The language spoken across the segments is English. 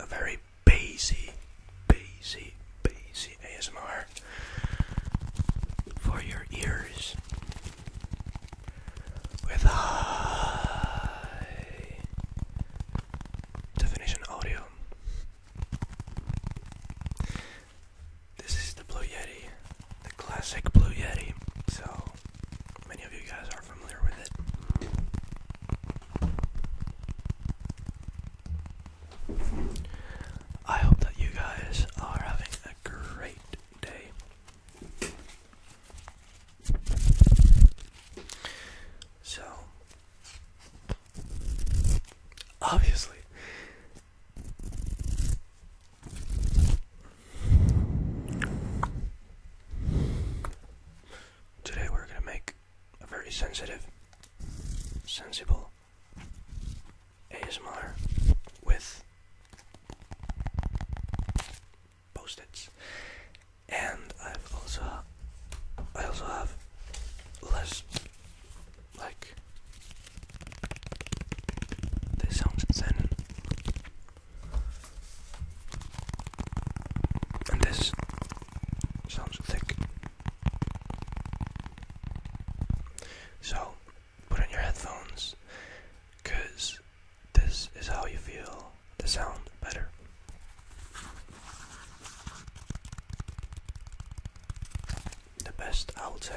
A very basic, basic, basic ASMR for your ears with high definition audio. This is the Blue Yeti, the classic Blue Yeti. So many of you guys are familiar with it. I hope that you guys are having a great day. So, obviously, Today we're going to make a very sensitive, sensible ASMR with post-its. And I've also I also have less like, this sounds insane. And this sounds thick. So, put on your headphones, because this is how you feel the sound better the best alto.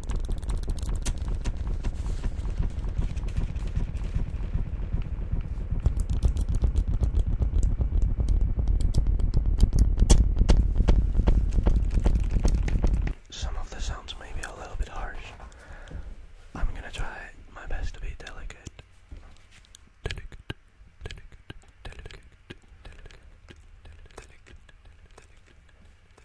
Some of the sounds may be a little bit harsh. I'm gonna try my best to be delicate. delicate,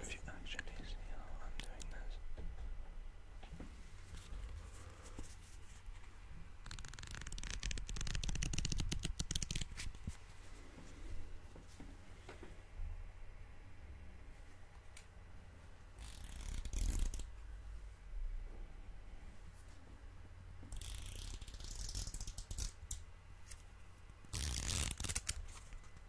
if you actually see how I'm doing this.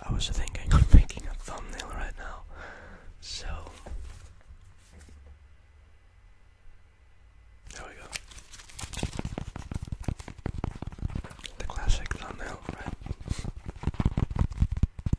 I was thinking of making a thumbnail right now, so there we go. The classic thumbnail, right?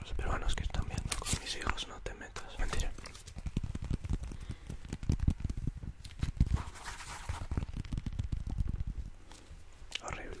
Los peruanos que están viendo con mis hijos no te metas. Mentira. Horrible.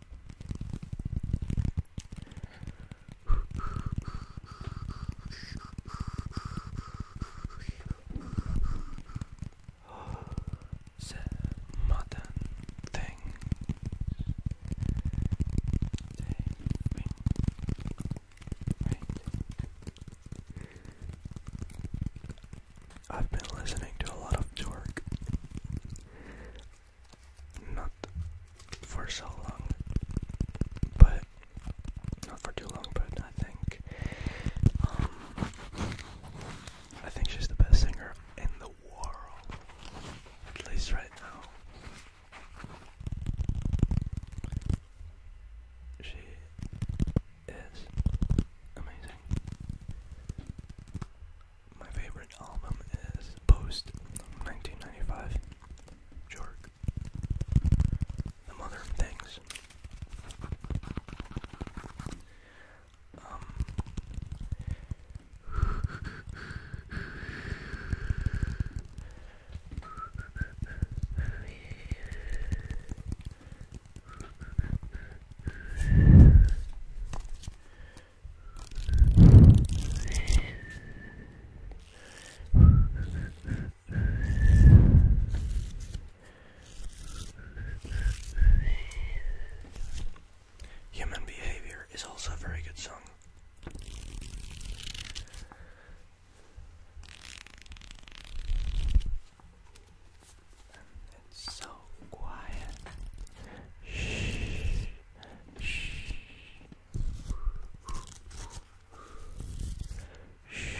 The modern things they mean I've been listening to a lot of Jork. Not for so long, but not for too long, but I think um, I think she's the best singer in the world, at least right now. She is amazing. My favorite album is Post 1995. Jork. The Mother of Things. Um, Human Behavior is also a very good song. It's so quiet. Shh. Shh. Shh.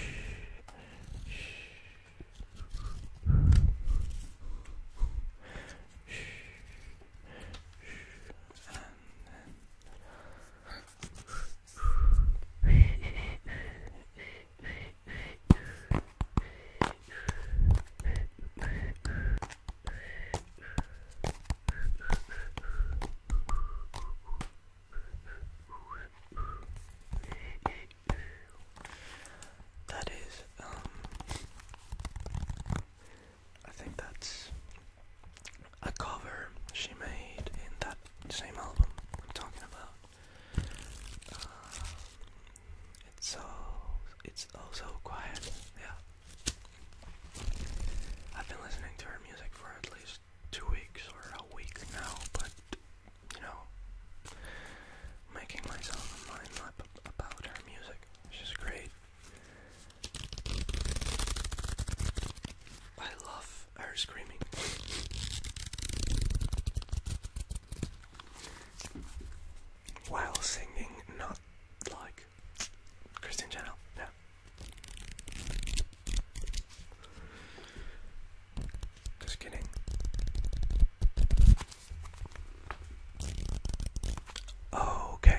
And then that is, um, I think that's a cover she made in that same album I'm talking about. Uh, it's so it's oh so quiet. Yeah. I've been listening to her music for at least two weeks or a week now, but you know, making myself a mind map about her music, which is great. I love her screaming while singing, not like Christian Channel, yeah. Just kidding. Okay.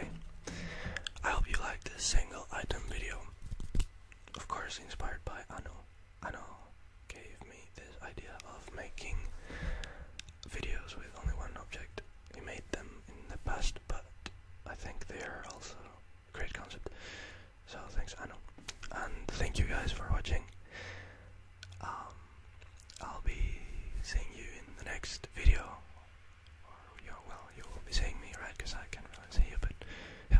I hope you like this single item video. Of course, inspired by Ano. Ano gave me this idea of making videos with only one object. We made them in the past, but I think they are also great concept. So thanks, Anu, and thank you guys for watching. Um, I'll be seeing you in the next video, well, you will be seeing me, right? Because I can't really see you, but yeah,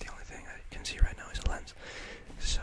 the only thing I can see right now is a lens. So.